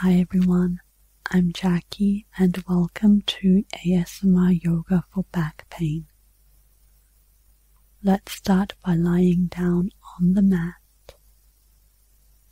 Hi everyone, I'm Jackie and welcome to ASMR Yoga for Back Pain. Let's start by lying down on the mat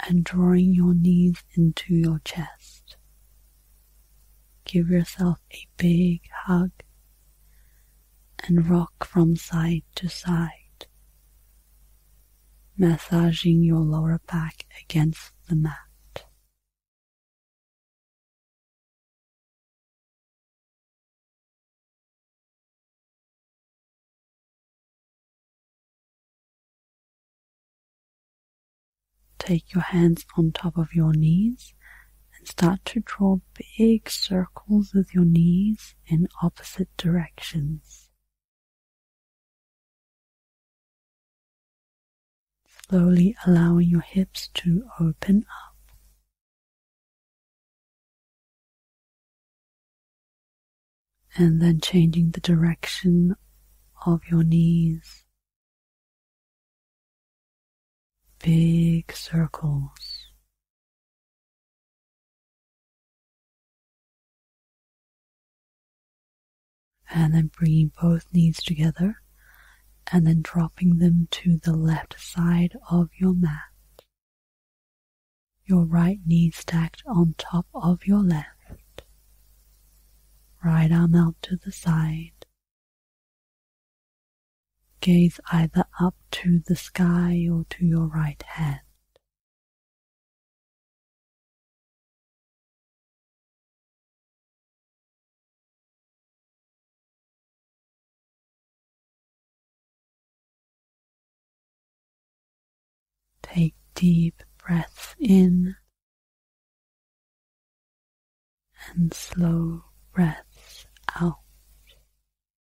and drawing your knees into your chest. Give yourself a big hug and rock from side to side massaging your lower back against the mat. Take your hands on top of your knees and start to draw big circles with your knees in opposite directions. Slowly allowing your hips to open up. And then changing the direction of your knees. Big circles and then bringing both knees together and then dropping them to the left side of your mat. Your right knee stacked on top of your left. Right arm out to the side. Gaze either up to the sky or to your right hand. Take deep breaths in and slow breaths out.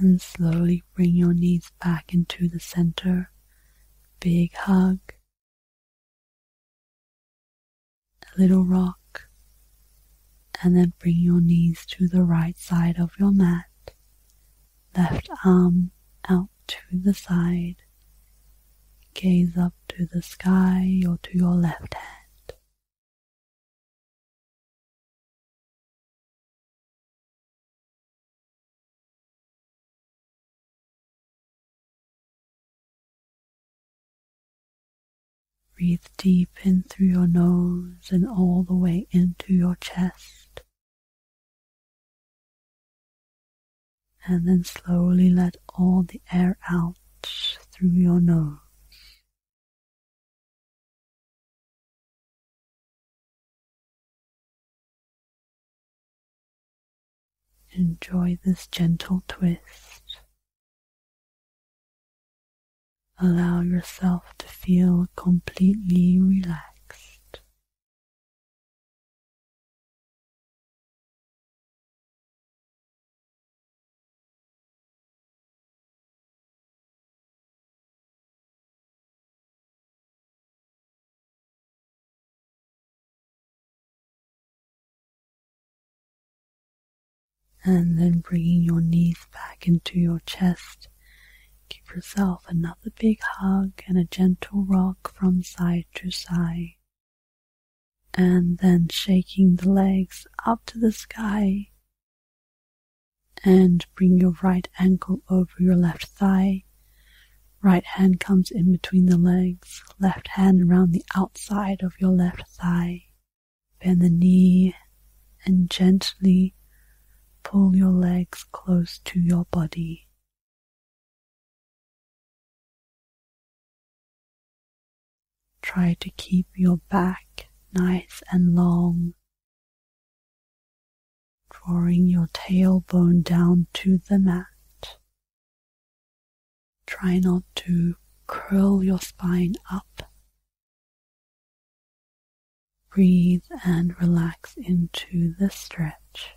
And slowly bring your knees back into the center. Big hug. A little rock. And then bring your knees to the right side of your mat. Left arm out to the side. Gaze up to the sky or to your left hand. Breathe deep in through your nose and all the way into your chest and then slowly let all the air out through your nose. Enjoy this gentle twist. Allow yourself to feel completely relaxed and then bringing your knees back into your chest. Give yourself another big hug and a gentle rock from side to side and then shaking the legs up to the sky. And bring your right ankle over your left thigh. Right hand comes in between the legs, left hand around the outside of your left thigh. Bend the knee and gently pull your legs close to your body. Try to keep your back nice and long, drawing your tailbone down to the mat. Try not to curl your spine up. Breathe and relax into the stretch.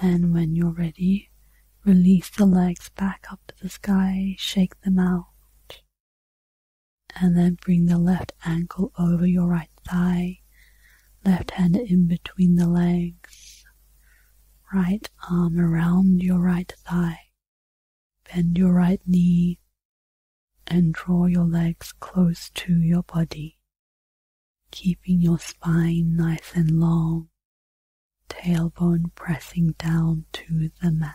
And when you're ready, release the legs back up to the sky, shake them out, and then bring the left ankle over your right thigh, left hand in between the legs, right arm around your right thigh, bend your right knee, and draw your legs close to your body, keeping your spine nice and long, tailbone pressing down to the mat.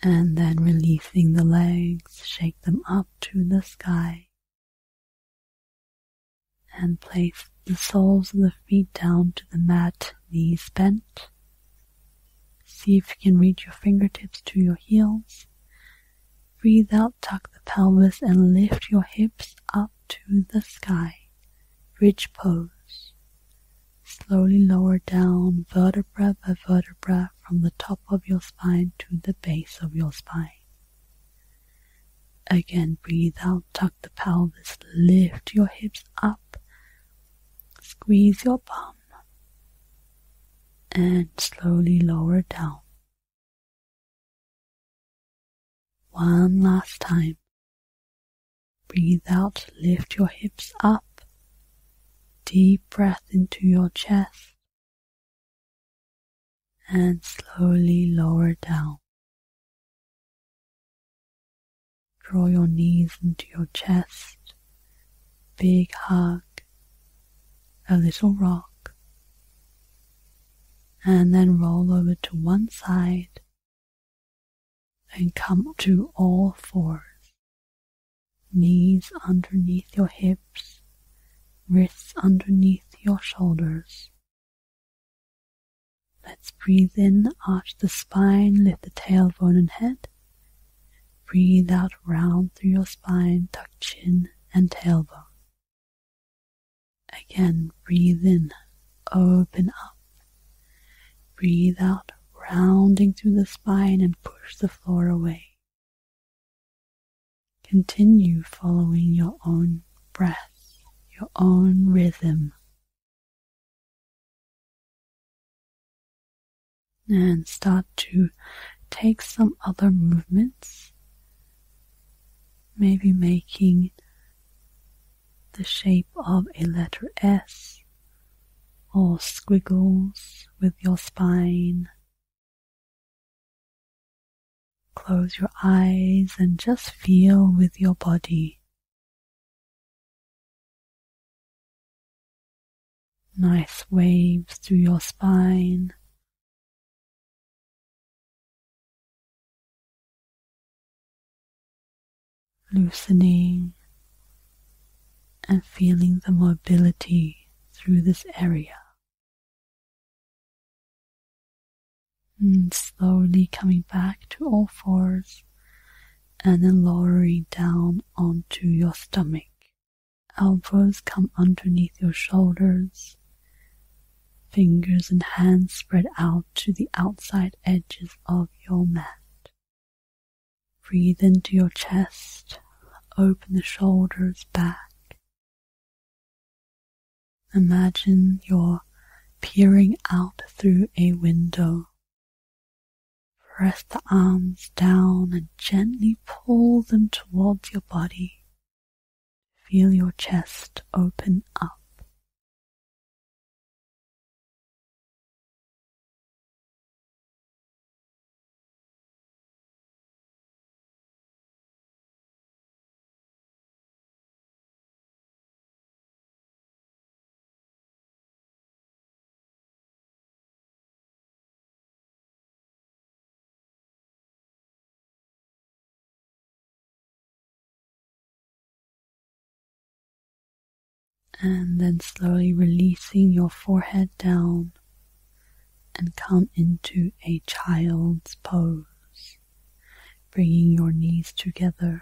And then releasing the legs, shake them up to the sky. And place the soles of the feet down to the mat, knees bent. See if you can reach your fingertips to your heels. Breathe out, tuck the pelvis, and lift your hips up to the sky, ridge pose. Slowly lower down vertebra by vertebra from the top of your spine to the base of your spine. Again, breathe out, tuck the pelvis, lift your hips up, squeeze your bum, and slowly lower down one last time. Breathe out, lift your hips up. Deep breath into your chest. And slowly lower down. Draw your knees into your chest. Big hug. A little rock and then roll over to one side and come to all fours. Knees underneath your hips, wrists underneath your shoulders. Let's breathe in, arch the spine, lift the tailbone and head. Breathe out round through your spine, tuck chin and tailbone. Again, breathe in, open up. Breathe out, rounding through the spine and push the floor away. Continue following your own breath, your own rhythm. And start to take some other movements maybe making the shape of a letter S or squiggles with your spine. Close your eyes and just feel with your body. Nice waves through your spine loosening and feeling the mobility through this area. And slowly coming back to all fours and then lowering down onto your stomach. Elbows come underneath your shoulders Fingers and hands spread out to the outside edges of your mat. Breathe into your chest, open the shoulders back. Imagine you're peering out through a window. Press the arms down and gently pull them towards your body. Feel your chest open up and then slowly releasing your forehead down and come into a child's pose, bringing your knees together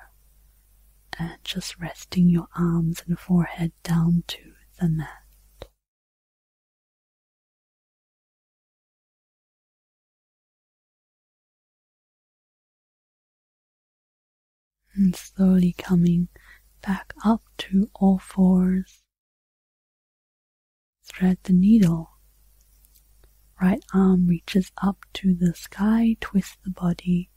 and just resting your arms and forehead down to the mat and slowly coming back up to all fours. Thread the needle. Right arm reaches up to the sky, twist the body.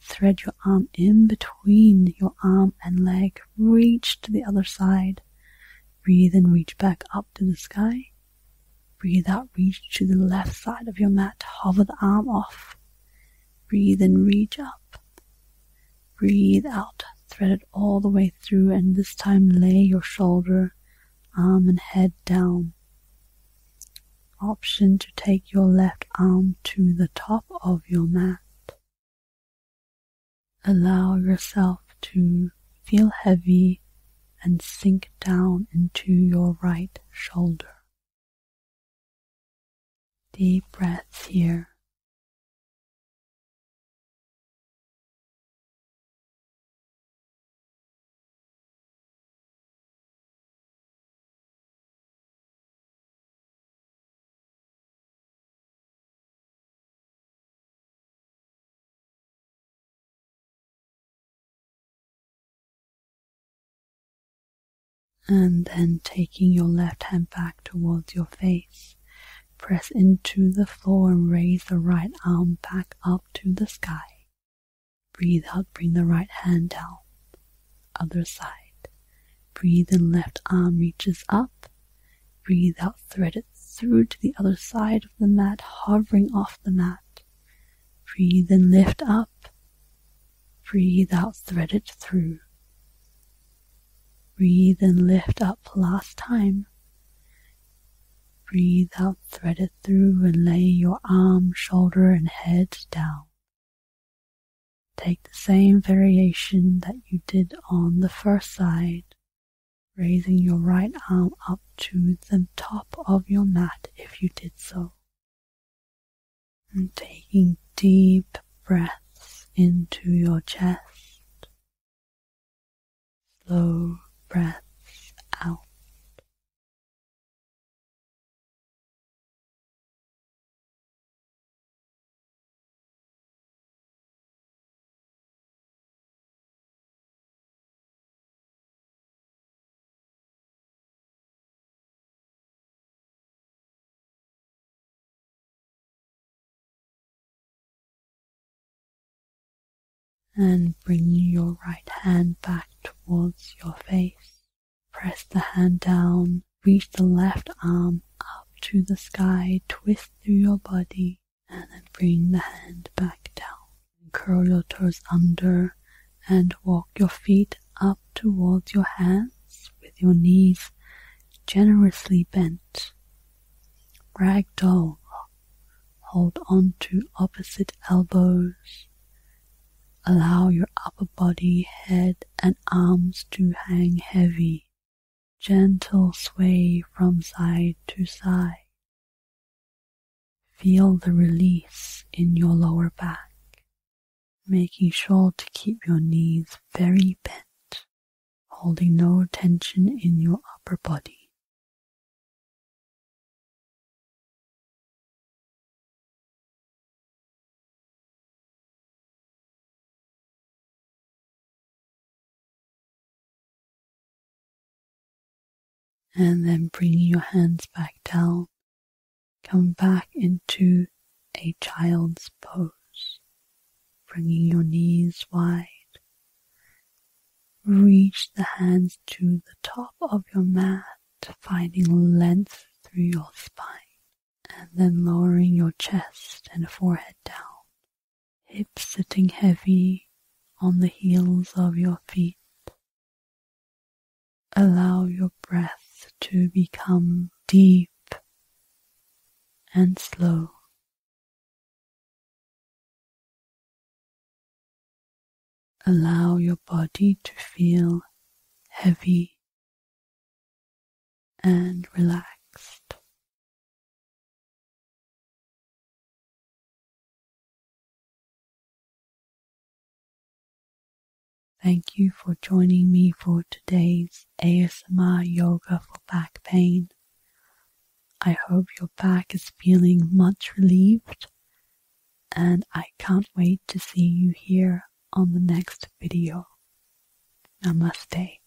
Thread your arm in between your arm and leg, reach to the other side. Breathe and reach back up to the sky. Breathe out, reach to the left side of your mat. Hover the arm off. Breathe and reach up. Breathe out, thread it all the way through, and this time lay your shoulder, arm, and head down. Option to take your left arm to the top of your mat. Allow yourself to feel heavy and sink down into your right shoulder. Deep breaths here and then taking your left hand back towards your face. Press into the floor and raise the right arm back up to the sky. Breathe out, bring the right hand down. Other side. Breathe in, left arm reaches up. Breathe out, thread it through to the other side of the mat, hovering off the mat. Breathe and lift up. Breathe out, thread it through. Breathe and lift up last time. Breathe out, thread it through, and lay your arm, shoulder, and head down. Take the same variation that you did on the first side, raising your right arm up to the top of your mat if you did so. And taking deep breaths into your chest, slow breaths out and bring your right hand back towards your face. Press the hand down Reach the left arm up to the sky, twist through your body, and then bring the hand back down. Curl your toes under and walk your feet up towards your hands with your knees generously bent. Ragdoll. Hold on to opposite elbows. Allow your upper body, head, and arms to hang heavy gentle sway from side to side. Feel the release in your lower back, making sure to keep your knees very bent, holding no tension in your upper body and then bring your hands back down, come back into a child's pose, bringing your knees wide. Reach the hands to the top of your mat, finding length through your spine and then lowering your chest and forehead down, hips sitting heavy on the heels of your feet. Allow your breath to become deep and slow. Allow your body to feel heavy and relaxed. Thank you for joining me for today's ASMR Yoga for Back Pain. I hope your back is feeling much relieved, and I can't wait to see you here on the next video. Namaste.